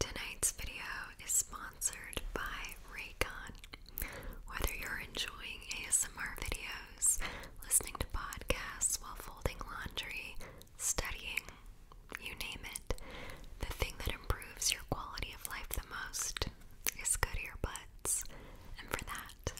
Tonight's video is sponsored by Raycon. Whether you're enjoying ASMR videos, listening to podcasts while folding laundry, studying, you name it, the thing that improves your quality of life the most is good earbuds. And for that,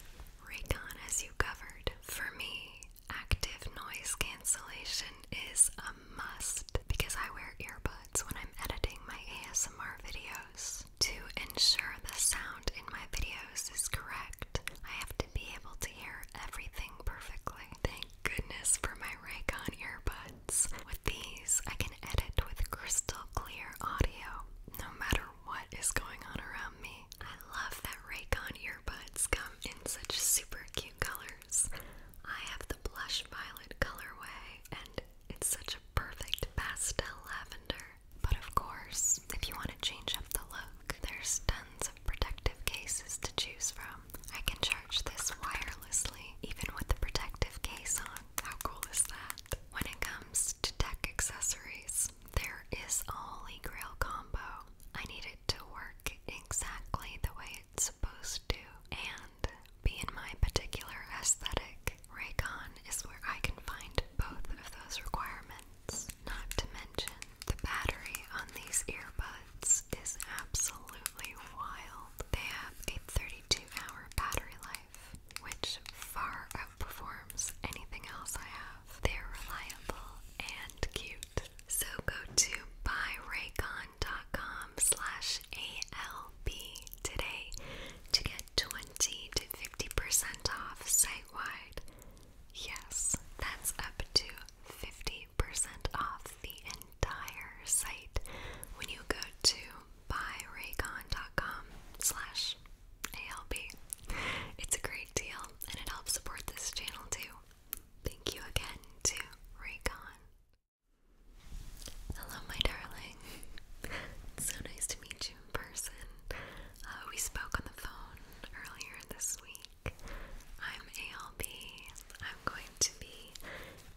Raycon has you covered. For me, active noise cancellation is a must because I wear earbuds when I'm editing my ASMR videos. To ensure the sound in my videos is correct, I have to be able to hear everything perfectly. Thank goodness for my Raycon earbuds. With these, I can edit with crystal clear audio no matter what is going on around me. I love that Raycon earbuds come in such super cute colors I have the blush violet colorway, and it's such a perfect pastel lavender. But of course, if you want to change up the look, there's tons of protective cases to choose from. I can charge this wirelessly, even with the protective case on. How cool is that? When it comes to tech accessories, there is a holy grail combo. I need it to work exactly the way it's supposed to, and be in my particular aesthetic, Raycon is where I can find both of those requirements. Not to mention, the battery on these earbuds is absolutely wild. They have a 32 hour battery life, which far outperforms anything else I have. They're reliable and cute. So go to Raycon. Amazon.com slash today to get 20 to 50% off site wide. Yes, that's up to 50% off the entire site when you go to buyraycon.com slash It's a great deal and it helps support this channel too. Thank you again to Raycon. Hello, my darling. so nice to meet you in person. Uh, we spoke on the phone earlier this week. I'm ALB. I'm going to be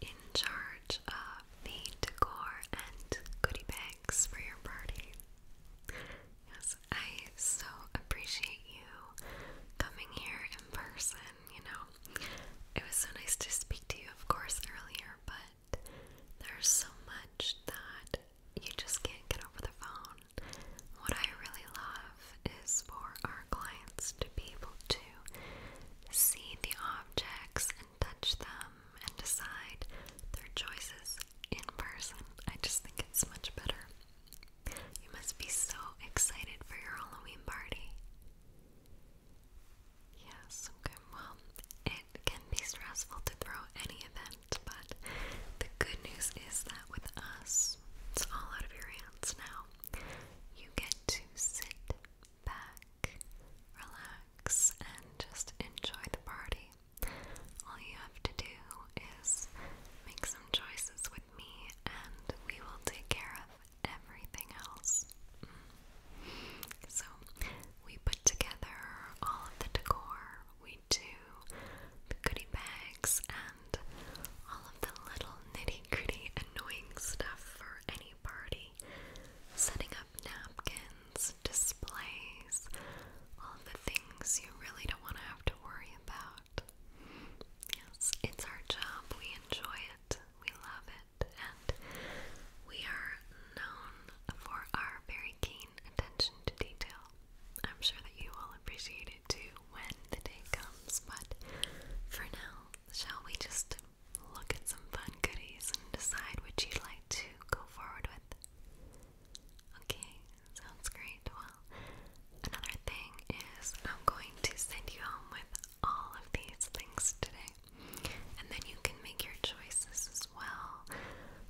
in charge of the decor and goodie bags for your party. Yes, I so appreciate you coming here in person you know, it was so nice to speak to you, of course, earlier, but there's so much that you just can't get over the phone. What I really love is for our clients to be able to see the objects and touch them and decide their choices in person. I just think it's much better. You must be so excited for your Halloween party. Yes, okay, well, it can be stressful to throw any event, but the good news is that with us, it's all out of your hands now. You get to sit back, relax, and just enjoy the party. All you have to do is make some choices with me, and we will take care of everything else. Mm. So we put together all of the decor. We do the goodie bags and all of the little nitty gritty annoying stuff for any party. Setting up napkins, displays, all the things you really don't want to have to worry about. Yes, it's our job. We enjoy it we love it, and we are known for our very keen attention to detail. I'm sure that you will appreciate it too when the day comes, but for now, shall we just look at some fun goodies and decide which you'd like to go forward with? Okay, sounds great. Well, another thing is I'm going to send you home with all of these things today. And then you can make your choices as well.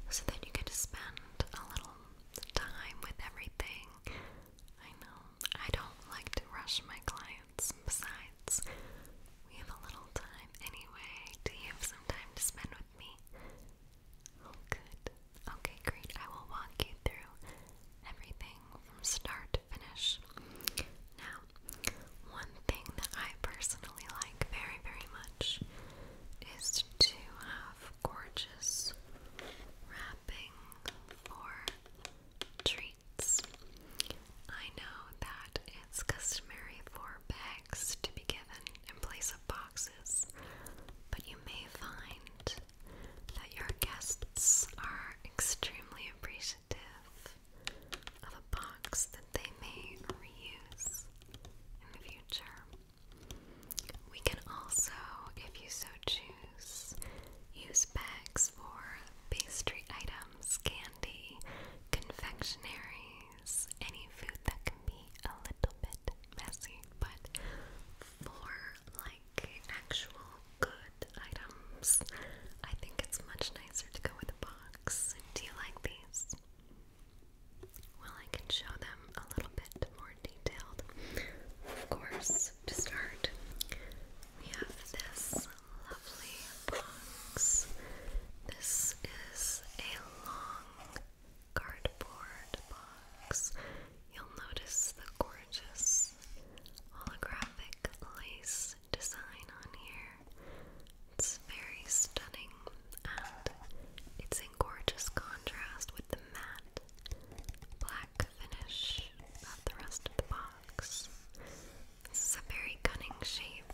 So that you get to spend a little time with everything. I know, I don't like to rush my clients. Besides, we have a little time anyway. Do you have some time to spend with me? Oh, good. Okay, great. I will walk you through everything from start to finish. Now, one thing that I personally like very, very much is to have gorgeous wrapping for treats. I know that it's customary for bags to be given in place of boxes, but you may find that your guests are extremely appreciative appreciative of a box that they may reuse in the future. We can also, if you so choose, use bags for pastry items, candy, confectionaries, any food that can be a little bit messy, but for like actual good items. I think it's much nicer to go with a box. Do you like these? Well, I can show them a little bit more detailed. Of course, to start, we have this lovely box. This is a long cardboard box. You'll notice the gorgeous holographic graphic lace design on here. It's very stunning and it's in gorgeous contrast with the matte black finish of the rest of the box. This is a very cunning shape,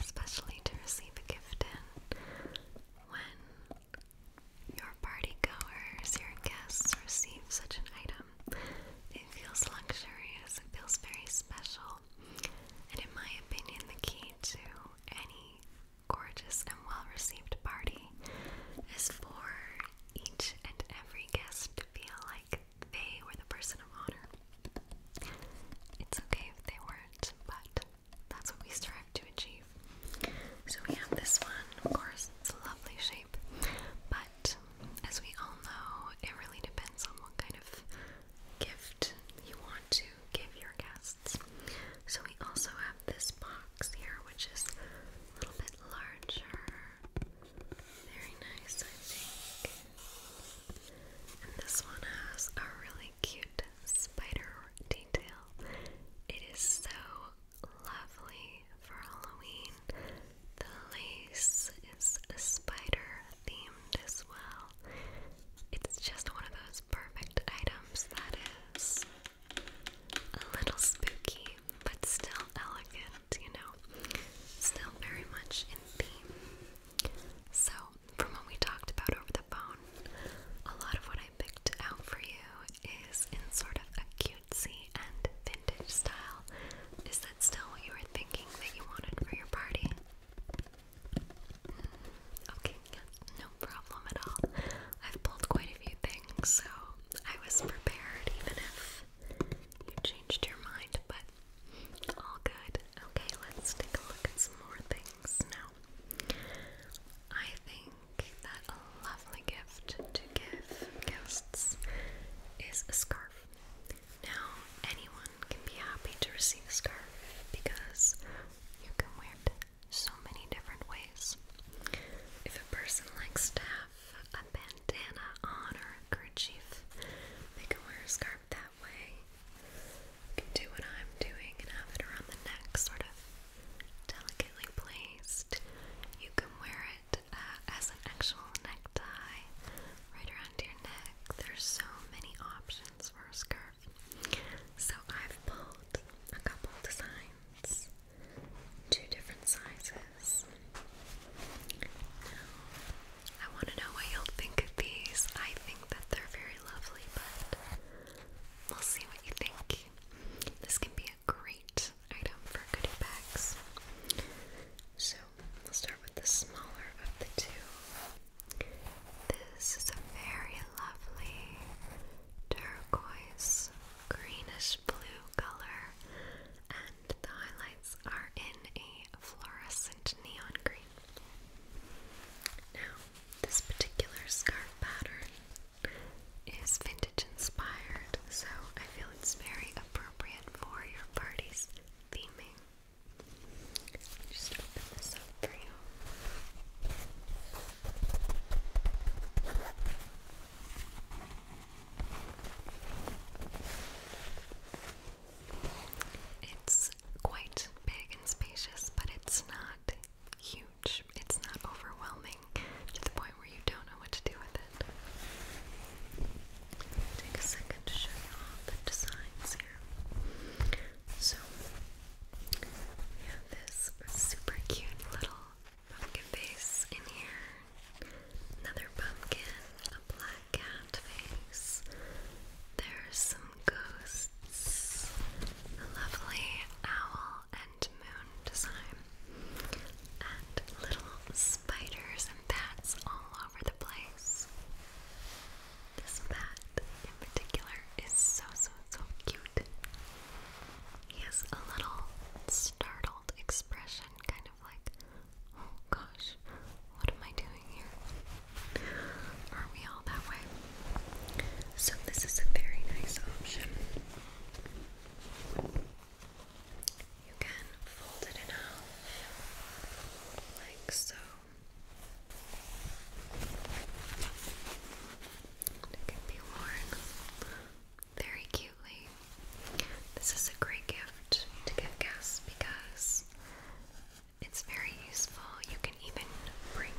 especially to receive a gift in when your party goers, your guests receive such an item. It feels luxurious, it feels very special. And in my opinion, the key to any gorgeous and well received party is for each and every guest to feel like they were the person of honor. It's okay if they weren't, but that's what we strive to achieve. So we have this one, of course, it's a lovely shape, but as we all know, it really depends on what kind of gift you want to give your guests. So we also have this box here, which is a little bit larger. Very nice, I think. And this one has a really cute spider detail. It is so lovely for Halloween. The lace is a spider themed as well. It's just one of those perfect items that is a little spooky, but still elegant, you know, still very much in theme. So, from what we talked about over the phone, a lot of what I picked out for you is in sort of a cute cutesy and vintage style. Is that still what you were thinking that you wanted for your party? Mm, okay, yes, no problem at all. I've pulled quite a few things, so I was prepared even if you changed your mind, but all good. Okay, let's take a look at some more things now. I think that a lovely gift to give guests is a scarf. Now, anyone can be happy to receive a scarf because you can wear it so many different ways. If a person likes to have a bandana on or a kerchief, they can wear a scarf that way. You can do what I'm doing and have it around the neck, sort of delicately placed. You can wear uh, as an actual necktie right around your neck. There's so many options for a scarf. So I've pulled a couple designs, two different sizes. I want to know what you'll think of these. I think that they're very lovely, but we'll see what you think. This can be great item for goodie bags. So we'll start with the smaller of the two. This is a very lovely turquoise, greenish blue color, and the highlights are in a fluorescent neon green. Now, this particular scarf pattern is vintage inspired, so I feel it's very appropriate for your party's theming. Just open this up for you. It's quite big and spacious, but it's not huge. It's not overwhelming to the point where you don't know what to do with it. Take a second to show you all the designs here. So, we have this super cute little pumpkin face in here, another pumpkin, a black cat face. There's some ghosts, a lovely owl and moon design and little spiders and bats all over the place. This bat in particular is so, so, so cute. He has a little startled expression, kind of like, oh gosh, what am I doing here? Are we all that way? So, this is a very nice option. You can fold it in half, like so. It can be worn very cutely. This is a great gift to get guests because it's very useful. You can even bring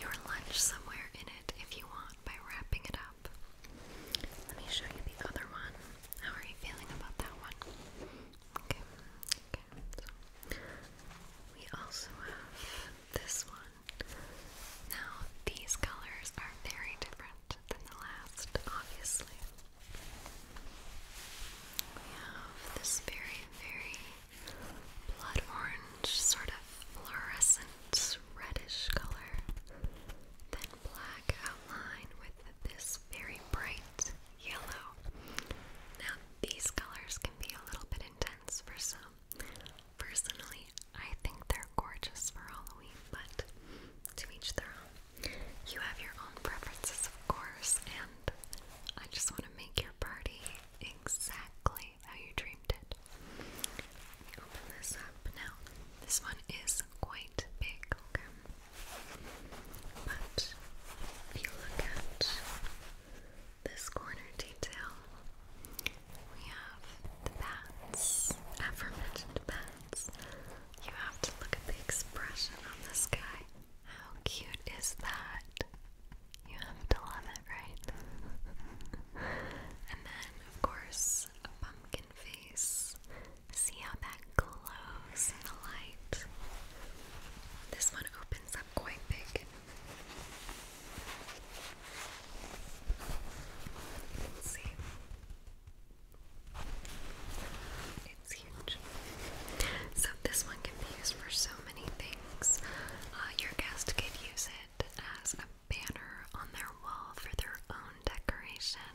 your lunch somewhere in it if you want by wrapping it up. Let me show you the other one. How are you feeling about that one? we also have this one. Now these colors are very different than the last, obviously. We have this very, very blood orange sort of fluorescent intense reddish color, then black outline with this very bright yellow. Now, these colors can be a little bit intense for some. Personally, I think they're gorgeous for Halloween, but to each their own. You have your own preferences, of course, and I just want to make your party exactly how you dreamed it open this up now. This one is quite big, okay? But if you look at this corner detail, we have the bats, aforementioned bats. You have to look at the expression on this guy. How cute is that? You have to love it, right? and then, of course, a pumpkin face. See how that glows in the light? This one opens up quite big. see. It's huge. So this one can be used for so many things. Uh, your guest could use it as a banner on their wall for their own decoration.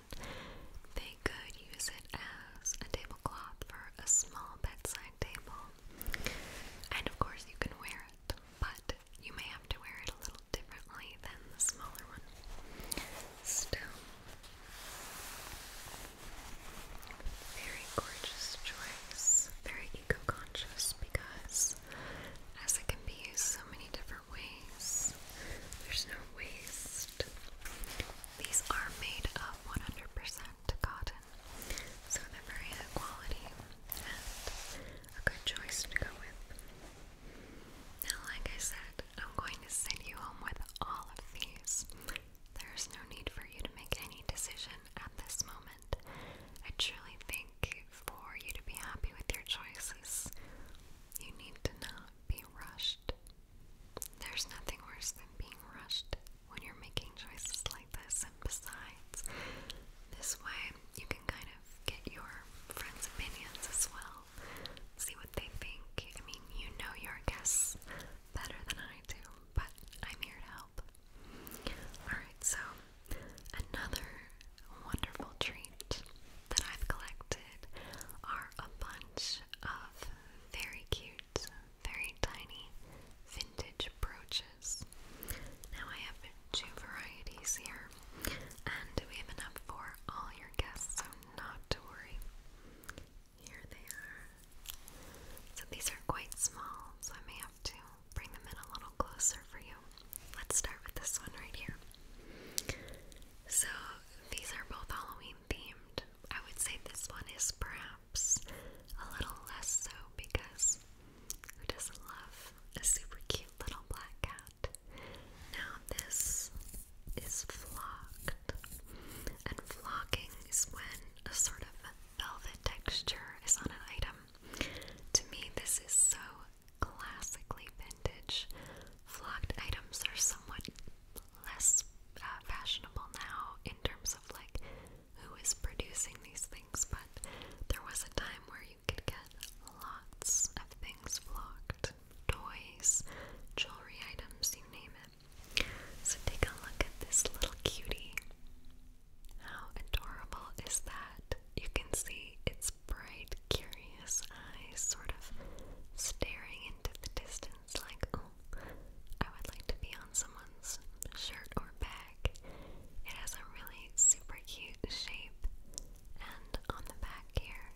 They could use it as a tablecloth for a small bedside table. And of course, you can wear it, but you may have to wear it a little differently than the smaller one. Still, very gorgeous choice, very eco conscious because as it can be used so many different waste. There's no waste. These are made of 100% cotton, so they're very high quality and a good choice to go with. Now, like I said, I'm going to send you home with all of these. There's no need for you to make any decision at this moment. I truly think for you to be happy with your choices, you need to not be rushed. There's nothing worse than being rushed when you're making choices like this, and besides, this way you can kind of get your friends' opinions as well, see what they think. I mean, you know your guess better than I do, but I'm here to help. Alright, so another wonderful treat that I've collected are a bunch of very cute, very tiny vintage brooches. Now I have two varieties here, and we have enough for all your guests, so not to worry. Here they are. So these are quite small, so I may have to bring them in a little closer for you. Let's start with this one right here. So these are both Halloween themed. I would say this one is perhaps a little less so because who doesn't love a super cute little black cat? Now, this is flocked, and flocking is when a sort of velvet texture is on an item. To me, this is so classically vintage. Flocked items are somewhat less uh, fashionable now in terms of like who is producing these things, but there was a time where you could get lots of things flocked toys, jewelry items, you name it. So take a look at this little cutie. How adorable is that? You can see it's bright, curious eyes sort of staring into the distance, like, oh, I would like to be on someone's shirt or bag. It has a really super cute shape, and on the back here,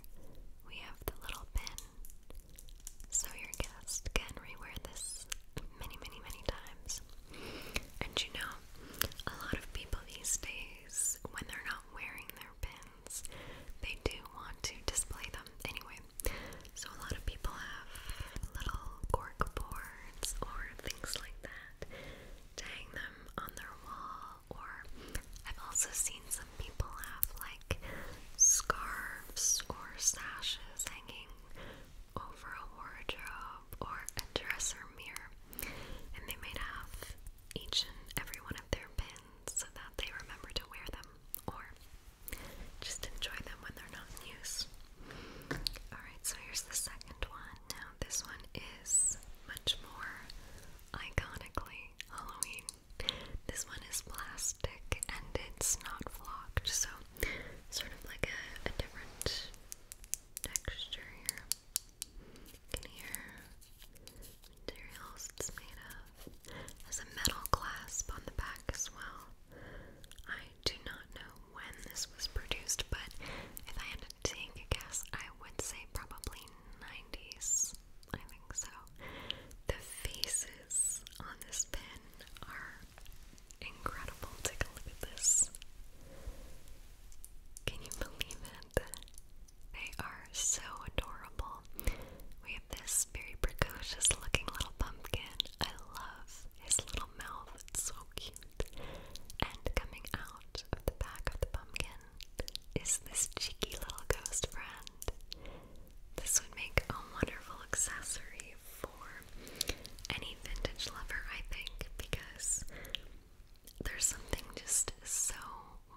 we have the little pin. So your guest can rewear this many, many, many times. And you know, a lot of people these days, when they're not wearing their pin, they do want to display them anyway. So a lot of people have little cork boards or things like that to them on their wall. Or I've also seen some people have like scarves or sashes hanging over a wardrobe or a dresser mirror. And they may have each and every one their pins so that they remember to wear them or just enjoy them when they're not in use. Alright, so here's the second one. Now, this one is much more iconically Halloween. This one is plastic and it's not flocked, so sort of like a different texture here can hear materials it's made of. There's a metal clasp on the back as well. I do not know when this was produced, but if I had to take a guess, I would say probably 90s. I think so. The faces on this pin are incredible. Take a look at this. Can you believe they are so adorable. We have this very precocious looking little pumpkin. I love his little mouth, it's so cute. And coming out of the back of the pumpkin is this cheeky little ghost friend. This would make a wonderful accessory for any vintage lover, I think, because there's something just so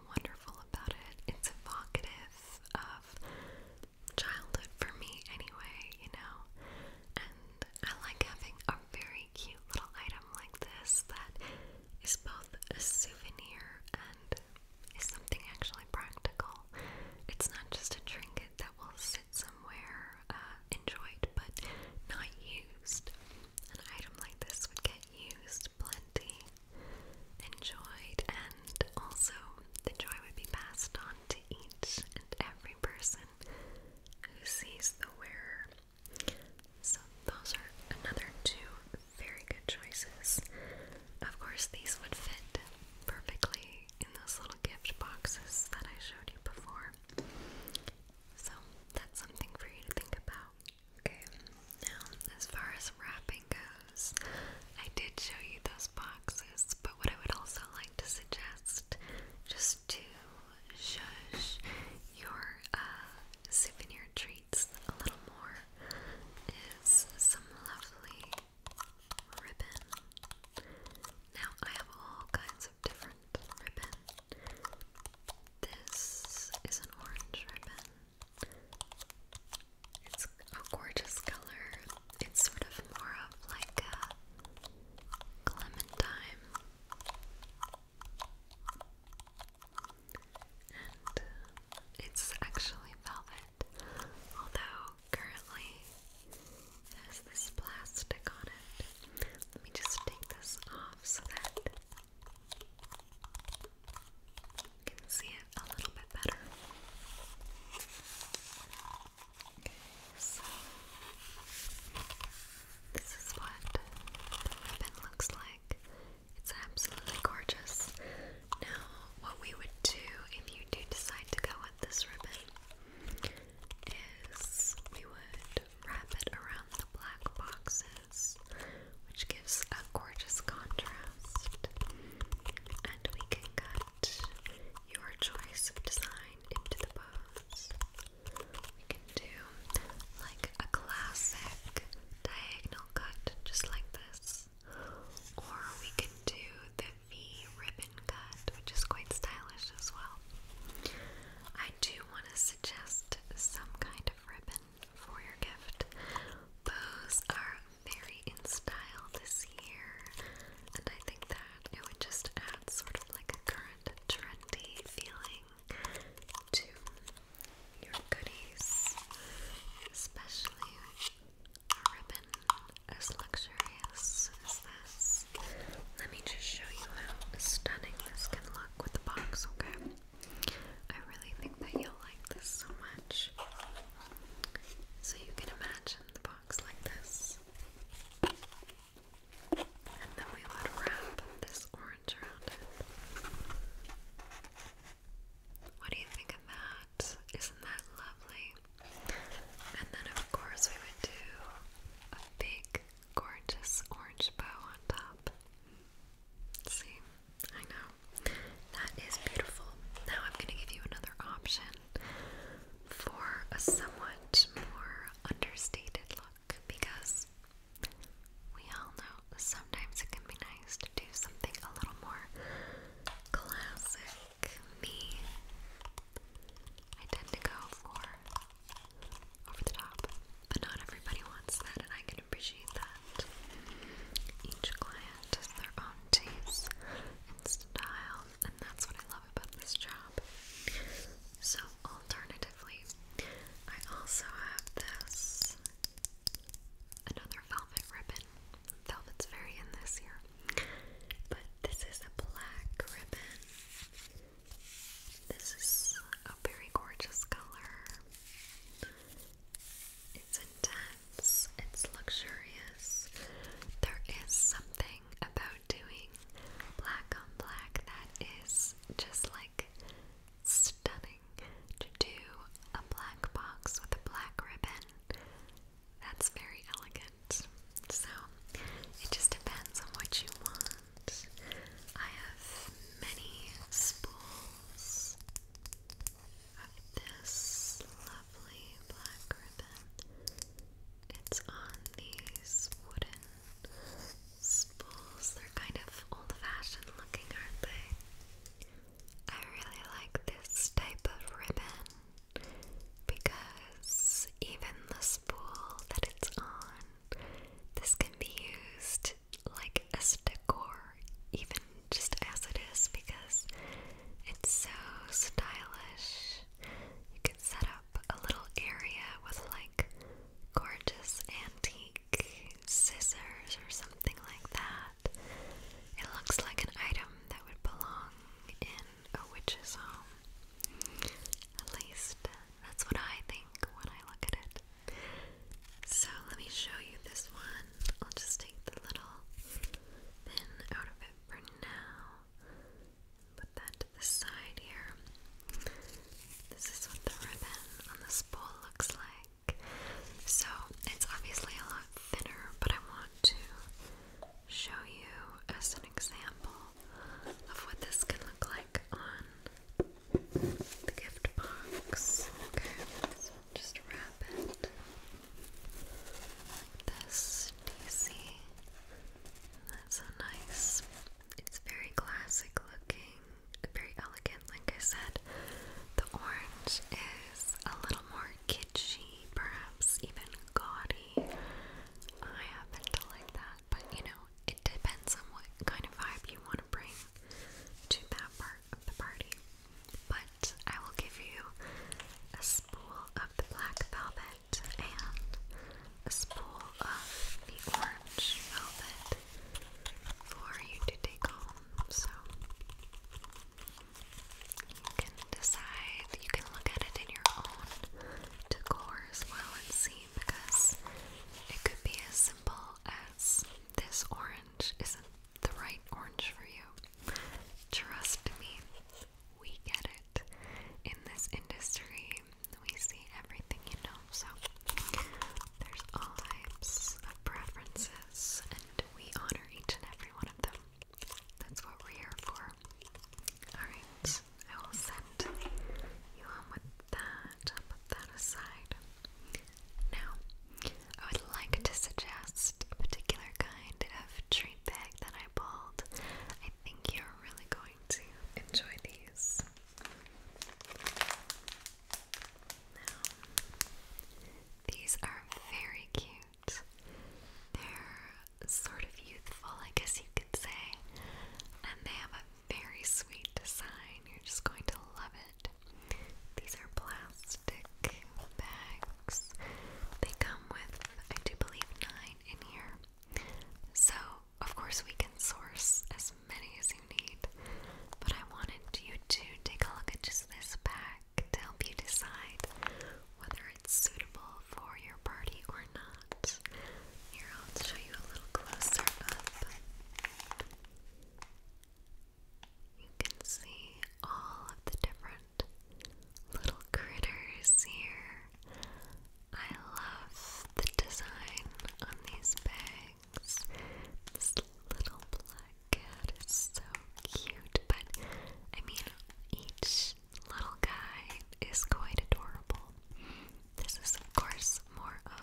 wonderful about it. It's evocative of childhood for me, anyway, you know. And I like having a very cute little item like this that is both a souvenir and is something actually practical. It's not just a trinket that will sit somewhere uh, enjoyed but not used. An item like this would get used plenty enjoyed, and also the joy would be passed on to each and every person who sees the wearer. So, those are another two very good choices. Of course, these would fit perfectly in those little gift boxes that I showed you before. So, that's something for you to think about. Okay, now as far as wrapping goes, I did show you those boxes, but what I would also like to suggest, just to show your uh, souvenir treats a little more, is some lovely ribbon. Now, I have all kinds of different ribbon. This is an orange ribbon. It's a gorgeous color. It's sort of more of like a clementine. And uh, it's actually velvet, although currently has this plastic on it. Let me just take this off so that you can see it a little bit better. so this is what the ribbon looks like. It's absolutely gorgeous. Now, what we would do if you do decide to go with this ribbon is we would wrap it around the black boxes, which gives a gorgeous contrast. And we can cut your choice of design into the bows. We can do like a classic diagonal cut, just like this, or we can do the V ribbon cut, which is quite stylish as well. I do want to suggest some kind of ribbon for your gift. Those are very in style this year, and I think that it would just add sort of like a current trendy feeling to your goodies, especially a ribbon as luxurious as this. Let me just show you how stunning this can look with the box, okay? I really think that you'll like this so much. So you can imagine the box like this. And then we would wrap this orange around it. What do you think of that? Isn't that lovely? And then, of course, we would do a big gorgeous orange bow on top. See, I know. That is beautiful. Now I'm going to give you another option for a somewhat more understated look because we all know sometimes it can be nice to do something a little more classic. Me, I tend to go for over the top, but not everybody wants that, and I can I appreciate that. Each client has their own taste and style, and that's what I love about this job. So, alternatively, I also have this another velvet ribbon. Velvet's very in this year, but this is a black ribbon. This is a very gorgeous color. It's intense, it's luxurious. There is something about doing black on black that is just like stunning. To do a black box with a black ribbon, that's very elegant. So it just depends on what you want. I have many spools of this lovely black ribbon. It's on these wooden spools. They're kind of old fashioned looking, aren't they? I really like this type of ribbon because even the spool that it's on, this can be used it like as decor, even just as it is, because it's so stylish. You can set up a little area with like gorgeous antique scissors or something like that. It looks like an item that would belong in a witch's home. At least that's what I think when I look at it. So let me show you this one. I'll just take the little pin out of it for now. Put that to the side here. This is what the ribbon on the spool looks like. So it's obviously a lot thinner, but I want to show you as an example of what this can look like on the gift box. Okay, just wrap it this. Do That's so nice. It's very classic looking, very elegant. Like I said, the orange is a little more kitschy, perhaps even gaudy. I happen to like that but you know, it depends on what kind of vibe you want to bring to that part of the party. But I will give you a spool of the black velvet and a spool of the orange velvet for you to take home. So you can decide, you can look at it in your own decor as well and see because it could be as simple as this orange isn't the right orange for you. Trust me, we get it. In this industry, we see everything you know, so there's all types of preferences, and we honor each and every one of them. That's what we're here for. Alright, I will send you home with that, i aside. Now, I would like to suggest a particular kind of treat bag that I bought. I think you're really going to enjoy these. these are very cute. They're sort of youthful, I guess you could say, and they have very sweet design. You're just going to love it. These are plastic bags. They come with, I do believe, nine in here. So, of course, we can source as many as you need, but I wanted you to take a look at just this bag to help you decide whether it's suitable for your party or not. Here, I'll show you a little closer up. You can see all of the different little critters here. I love the design on these bags. This little black cat is so cute, but I mean, each little guy is quite adorable. This is, of course, more of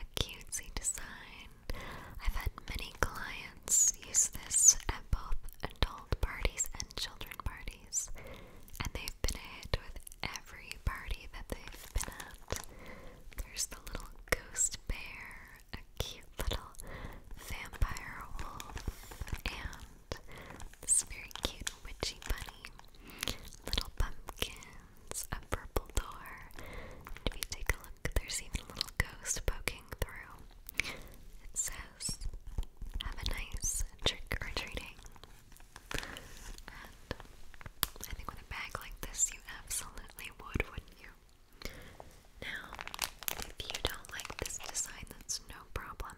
a cutesy design. I've had many clients use this at both adult parties and children parties, and they've been a hit with every party that they've been at. There's the little ghost bear, a cute little vampire wolf, and this very cute witchy bunny, little pumpkin, curtains, a purple door, if you take a look, there's even a little ghost poking through. It says, Have a nice trick or treating. I think with a bag like this, you absolutely would, wouldn't you? Now, if you don't like this design, that's no problem.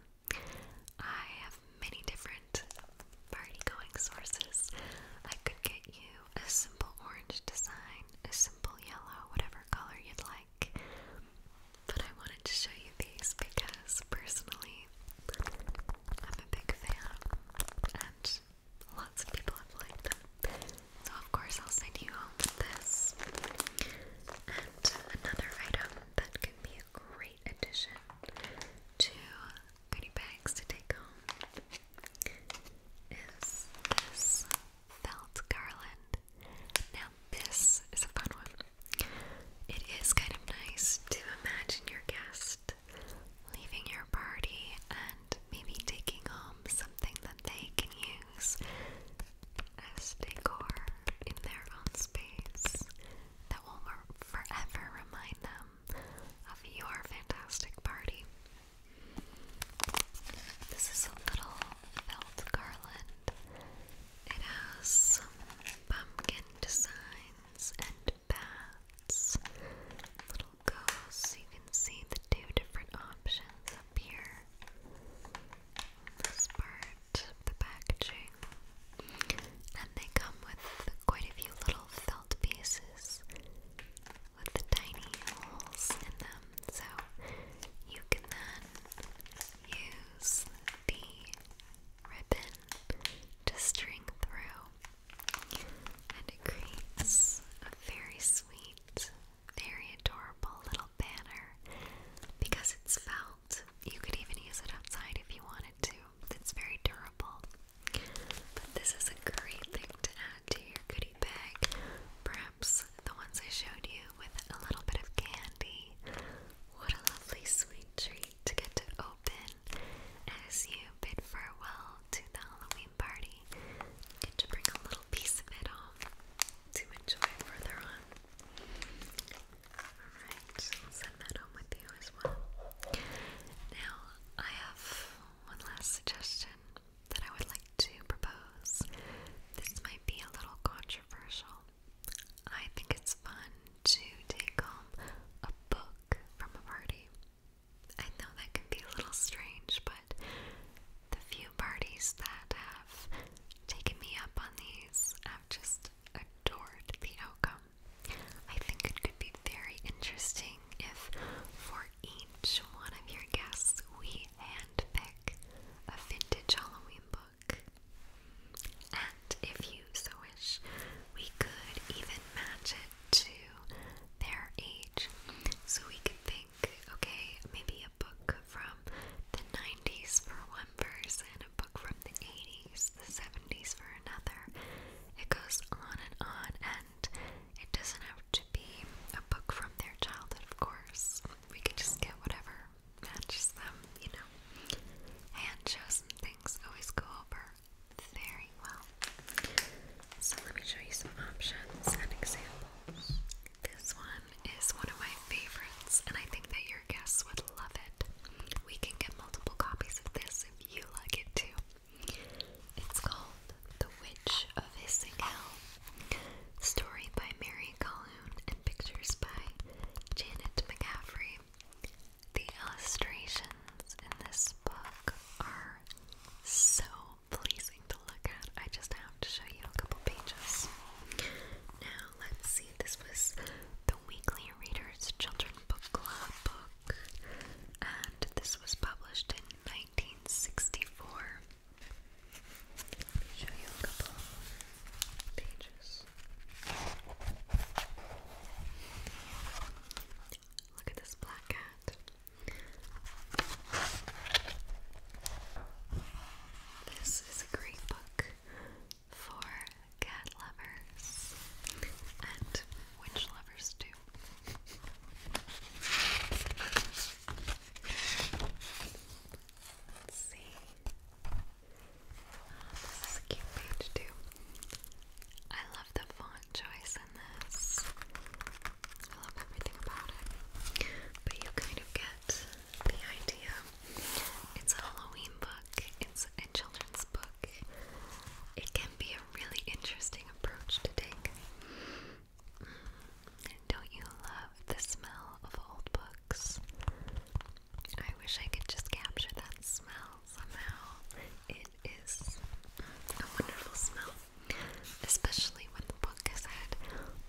I have many different party going sources, I could get you a simple orange design, a simple yellow, whatever color you'd like. But I wanted to show you these because personally, I'm a big fan and lots of people have liked them. So, of course, I'll send you home with this. And another item that can be a great addition to goodie bags to take home is this felt garland. Now, this is a fun one. It is kind of nice to imagine your guest leaving your party and maybe taking home something that they can use as decor in their own space that will forever remind them of your fantastic party. This is a little felt garland. It has some pumpkin designs and bats. Little ghosts. You can see the two different options up here. This part, the packaging. And they come with quite a few little pieces with the tiny holes in them, so you can then use the ribbon to string through, and it creates a very sweet, very adorable little banner because it's felt. You could even use it outside if you wanted wanted to. It's very durable. But this is a great thing to add to your goodie bag. Perhaps the ones I showed you with a little bit of candy. What a lovely sweet treat to get to open as you bid farewell to the Halloween party. Get to bring a little piece of it home to enjoy further on. Alright, I'll send that home with you as well. Now, I have one last suggestion that I would like to propose. This might be a little controversial. I think it's fun to take home a book from a party. I know that can be a little strange, but the few parties that have taken me up on these have just adored the outcome. I think it could be very interesting if for each one of your guests we handpick a vintage Halloween book. And if you so wish, we could even match it to their age. So we could think, okay, maybe a book from the 90s for one person, a book from the 80s, the 70s for it goes on and on, and it doesn't have to be a book from their childhood, of course. We could just get whatever matches them, you know. Hand things always go over very well. So, let me show you some options and examples. This one is one of my favorites, and I think that your guests would love it. We can get multiple copies of this if you like it too. It's called The Witch of Hissing Story by Mary Calhoun and pictures by Janet McCaffrey. The illustrations in this book are so pleasing to look at. I just have to show you a couple pages. Now, let's see. This was the Weekly Reader's Children's book club book, and this was published in 1964. show you a couple pages. Look at this black cat. This is a great book for cat lovers and witch lovers, too do. Let's see. Oh, this is a cute page too. I love the font choice in this. I love everything about it. But you kind of get the idea. It's a Halloween book. It's a children's book. It can be a really interesting approach to take. Mm. don't you love the smell of old books? I wish I could just capture that smell somehow. It is a wonderful smell, especially when the book has had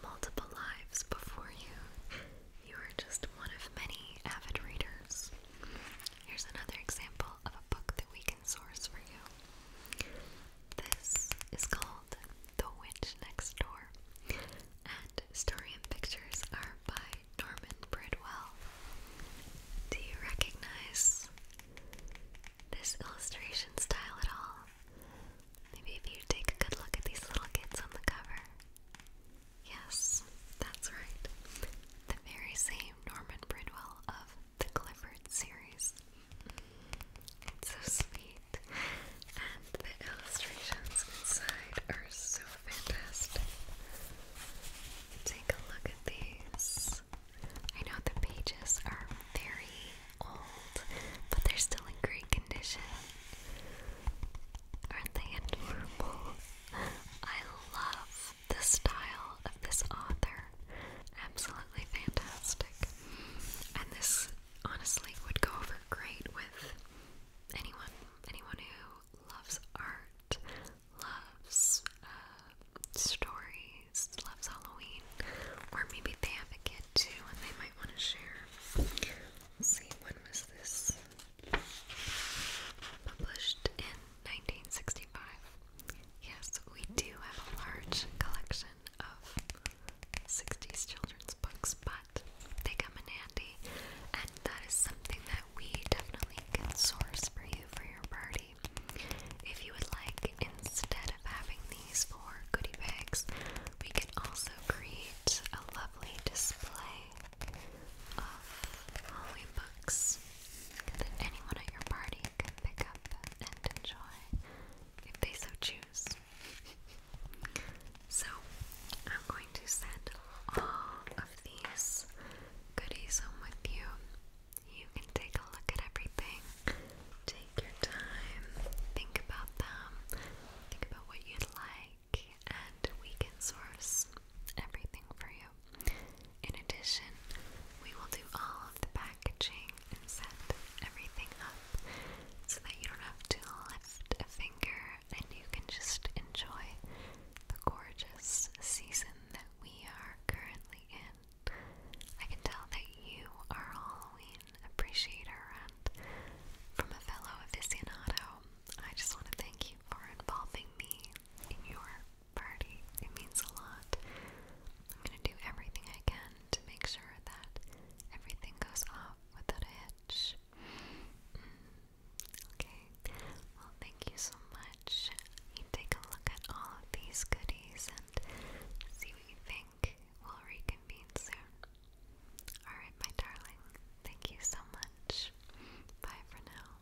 multiple lives before you. You are just one of many avid readers. Here's another example of a book that we can source for you. This is called The Witch Next Door, and story and pictures are by Norman Bridwell. Do you recognize this illustration style at all? Maybe if you take a good look at these little kids on the cover. Yes, that's right. The very same Norman Bridwell of the Clifford series. It's so sweet, and the illustrations inside are so fantastic. Take a look at these. I know the pages are very old, but they're still in great condition. Aren't they adorable? I love the style of this author. Absolutely fantastic. And this honestly would go over great with anyone. Anyone who loves art, loves uh, stories, loves Halloween, or maybe they have a kid too and they might want to share. see, when was this? Published in 1965. Yes, we do have a large collection of 60s children's books, but they come in handy, and that is something that we definitely can source for you for your party. If you would like, instead of having these for goodie bags, we can also create a lovely display of Halloween books that anyone at your party can pick up and enjoy if they so choose. so, I'm going to send all of these goodies home with you. You can take a look at everything, take your time, think about them, think about what you'd like, and we can source everything for you. In addition, we will do all of the packaging and set everything up so that you don't have to lift a finger and you can just enjoy the gorgeous season that we are currently in. I can tell that you are Halloween appreciator, and from a fellow aficionado, I just want to thank you for involving me in your party. It means a lot. I'm gonna do everything I can to make sure that everything goes off without a hitch. Mm. Okay, well, thank you so much. You take a look at all of these goodies and see what you think. We'll reconvene soon. Alright, my darling, thank you so much. Bye for now.